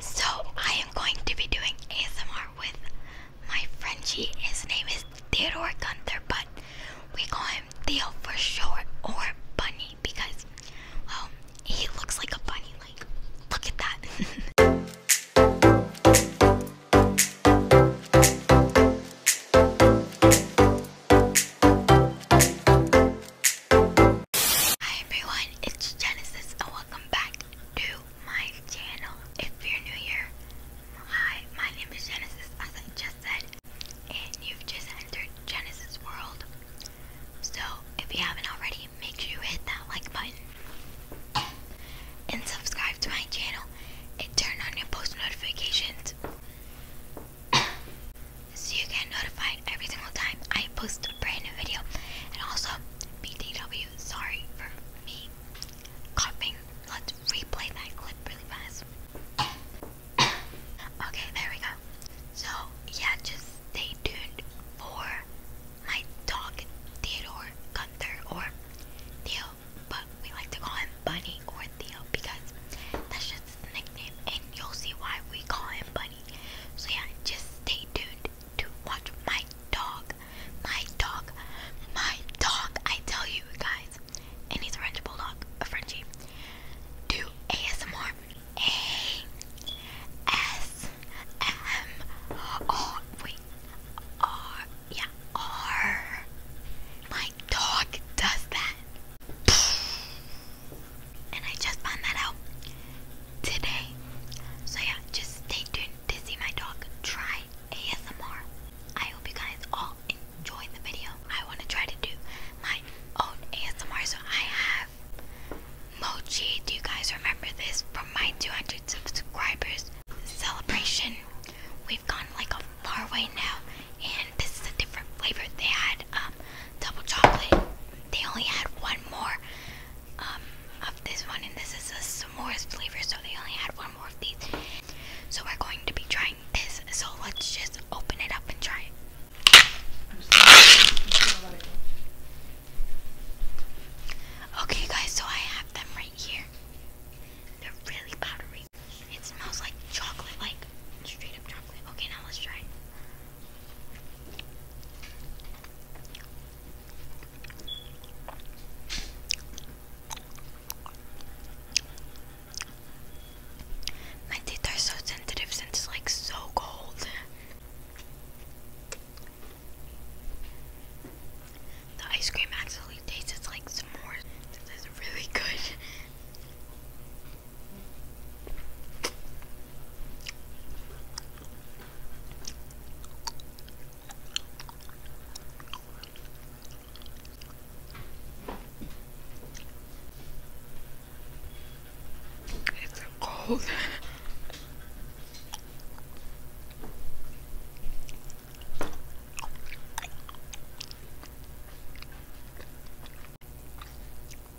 So I am going to be doing ASMR with my Frenchie. His name is Theodore Gunther, but we call him Theo for short, or Bunny, because, well, he looks like a bunny. Like, look at that. Hi everyone, it's Genesis and welcome back to my channel. If you're new here, hi, my name is Genesis as I just said, and you've just entered Genesis World. So if you haven't already, make sure you hit that like button and subscribe to my channel and turn on your post notifications so you get notified every single time I post a brand new video. And also, BTW, sorry for me coughing. Let's replay that clip really fast. okay, there we go. So, yeah, just stay tuned for my dog, Theodore Gunther, or Theo, but we like to call him Bunny or Theo because that's just nickname, and you'll see why we call him Bunny. So, yeah, just stay tuned to watch my dog. My dog. My dog. I tell you guys. And he's a French bulldog. A Frenchie. Do ASMR. A S M R. Wait. R. Yeah. R. My dog does that and I just found that out today. So yeah, just stay tuned to see my dog try ASMR. I hope you guys all enjoyed the video. I want to try to do my own ASMR, so I have Mochi. Do you guys remember this from my 200 subscribers celebration? We've gone like a far way now, and this is a different flavor. They had um double chocolate. They only had one more um, of this one, and this is a s'mores flavor, so they only had one more of these. So we're going to be trying this. So let's just open it up and try it. Okay, guys, so I have them right here. They're really powdery. It smells like chocolate, like straight up chocolate. Okay, now let's try my teeth are so sensitive since it's like so cold. The ice cream actually tastes like s'mores. This is really good. It's so cold.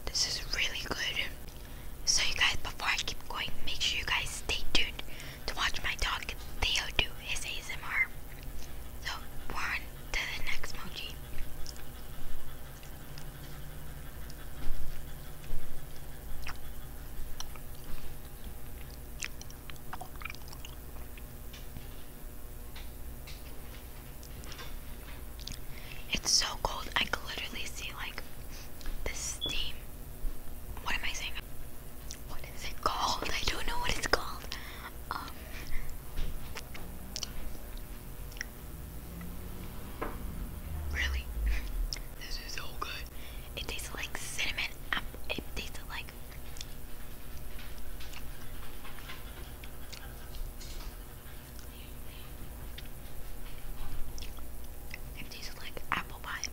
This is really good. So you guys, before I keep going, make sure you guys stay tuned to watch my dog Theo do his ASMR. So on to the next emoji. It's so cold, I can literally see like the steam what am I saying? What is it called? I don't know what it's called. Um, really? This is so good. It tastes like cinnamon. It tastes like. It tastes like apple pie.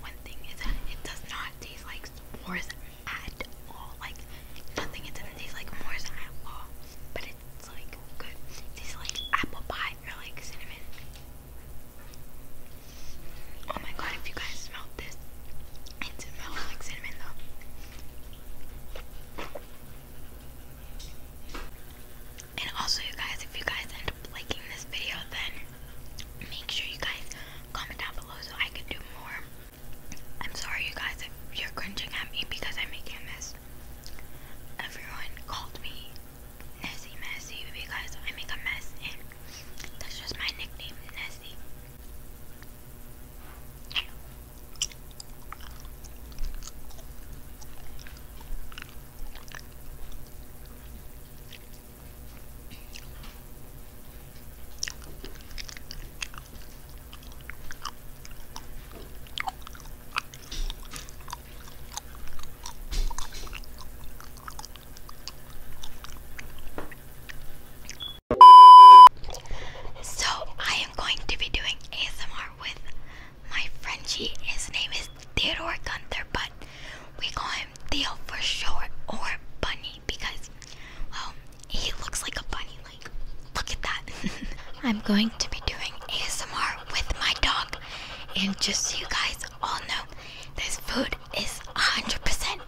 One thing is that it does not taste like s'mores at all. Like nothing. It doesn't taste like s'mores at all. But it's like good. It tastes like apple pie or like cinnamon. Oh my god! If you guys smelled this, it smells like cinnamon though. And also, you guys, if you guys end up liking this video, then make sure you guys comment down below so I can do more. I'm sorry, you guys, if you're cringing at me because I'm making this. Everyone called me Nessie Messy because I make a mess, and that's just my nickname, Nessie. So I am going to be doing ASMR with my Frenchie, his name is Theodore Gunther, but we call him Theo for short, or Bunny, because, well, he looks like a bunny. Like, look at that. I'm going to be doing ASMR with my dog, and just so you guys all know, this food is 100%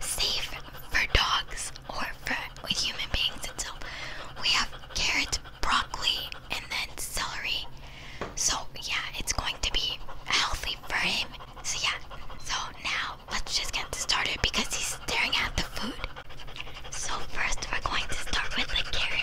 safe for dogs or for human beings itself. We have carrots, broccoli, and then celery. So, yeah, it's going to be healthy for him. So, yeah. So, now let's just get started because he's staring at the food. So, first, we're going to start with the carrot.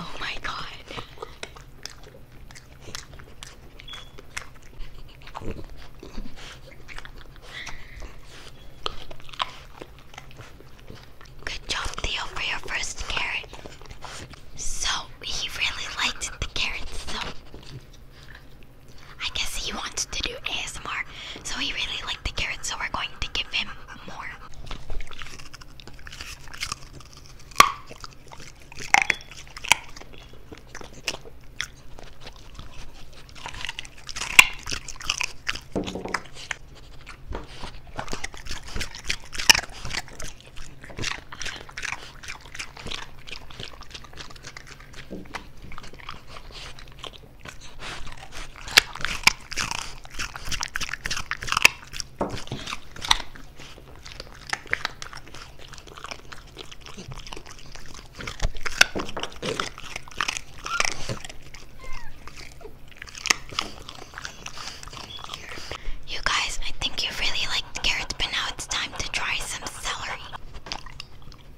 Oh my god. Good job, Theo, for your first carrot. So, he really liked the carrots, so I guess he wants to do ASMR, so he really liked the carrots, so we're going to give him more. You guys, I think you really like carrots, but now it's time to try some celery.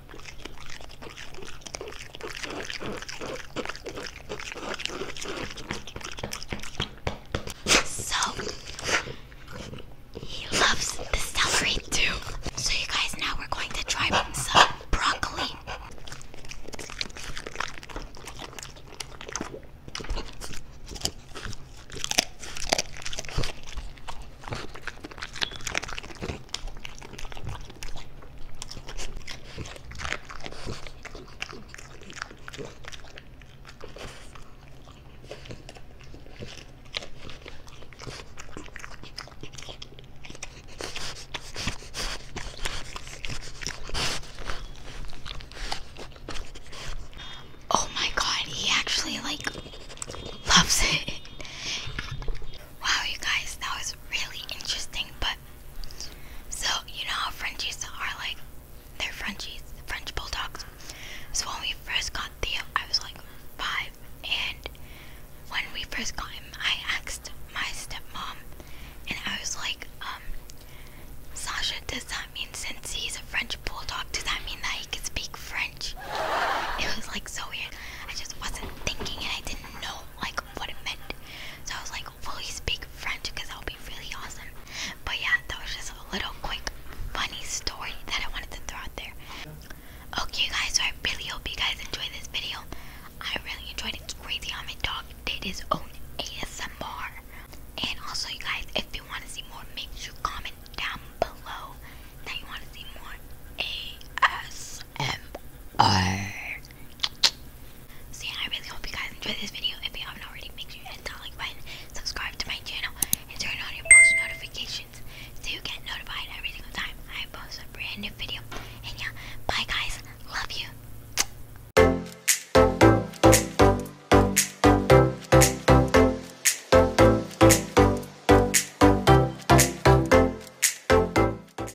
So he loves the celery too. So you guys now we're going to try some broccoli. Oh my god, he actually like loves it. Wow, you guys, that was really interesting, but so, you know how Frenchies are like, they're Frenchies, French Bulldogs. So, when we first got Theo, I was like five, and when we first got him, I asked my stepmom, and I was like, um, Sasha, does that mean since he's a French Bulldog, does that mean that he can speak French? It was like so weird. I just wasn't thinking, and I didn't know like what it meant. So I was like, will he speak French? Because that would be really awesome. But yeah, that was just a little quick, funny story that I wanted to throw out there. Okay, guys, so I really hope you guys enjoyed this video. I really enjoyed it. It's crazy how my dog did his own ASMR. And also, you guys, if you want to see more, make sure comment down below that you want to see more ASMR. ASMR. So yeah, I really hope you guys enjoy this video. If you haven't already, make sure you hit that like button, subscribe to my channel, and turn on your post notifications so you get notified every single time I post a brand new video. And yeah, bye guys. Love you.